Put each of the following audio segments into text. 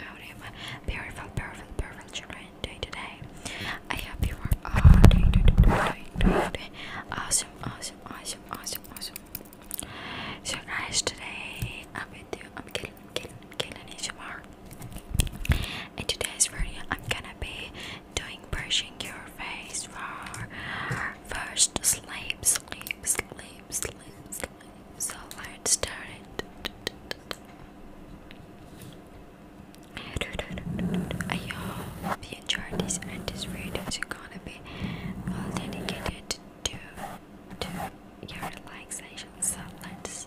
out of my beautiful, beautiful, beautiful children day to day. I hope you are all day to day, day, day, Awesome, awesome, awesome, awesome, awesome. So, guys, today I'm with you. I'm killing, I'm killing, I'm killing ASMR. In today's video, I'm gonna be doing brushing your face for first sleep, sleep, sleep, sleep, sleep, so I'd start I hope you enjoyed this and this video is gonna be all dedicated to, to your relaxation so let's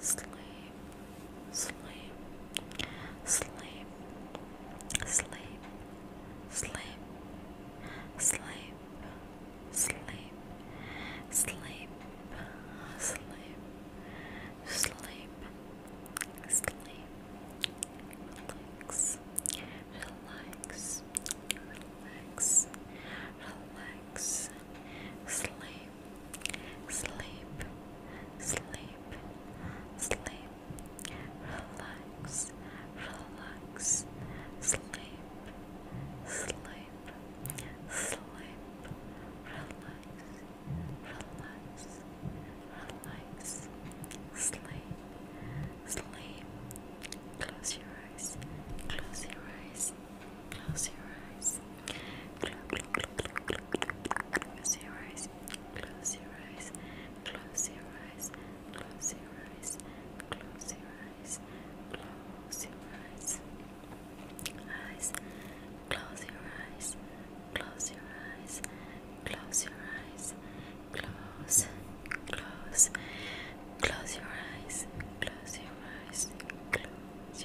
sleep, sleep, sleep, sleep, sleep, sleep, sleep, sleep, sleep, sleep, sleep, relax, relax, relax, relax, sleep sleep, sleep, sleep, relax, relax, sleep, sleep, sleep, relax, relax, relax, sleep, sleep, close your eyes, close your eyes. Close your eyes. Close your eyes. Close your eyes. Close your eyes. Close your eyes. Close your eyes. Close your eyes. Eyes. Close your eyes. Close your eyes. Close your eyes. Close. Close. Close your eyes. Close your eyes. Close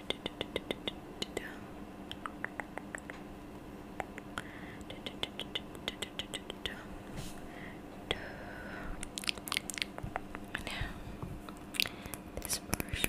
Now, this brush.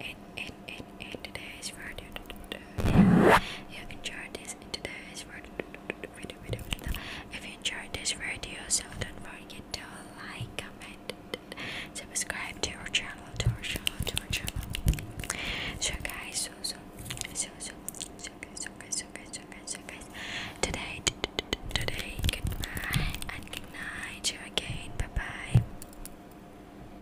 in you enjoyed this today's video, If you enjoyed this video, so don't forget to like, comment, subscribe to our channel, So guys, so so so so so guys, so guys, so guys, so guys, Today, today, goodbye and good night. See you again. Bye bye.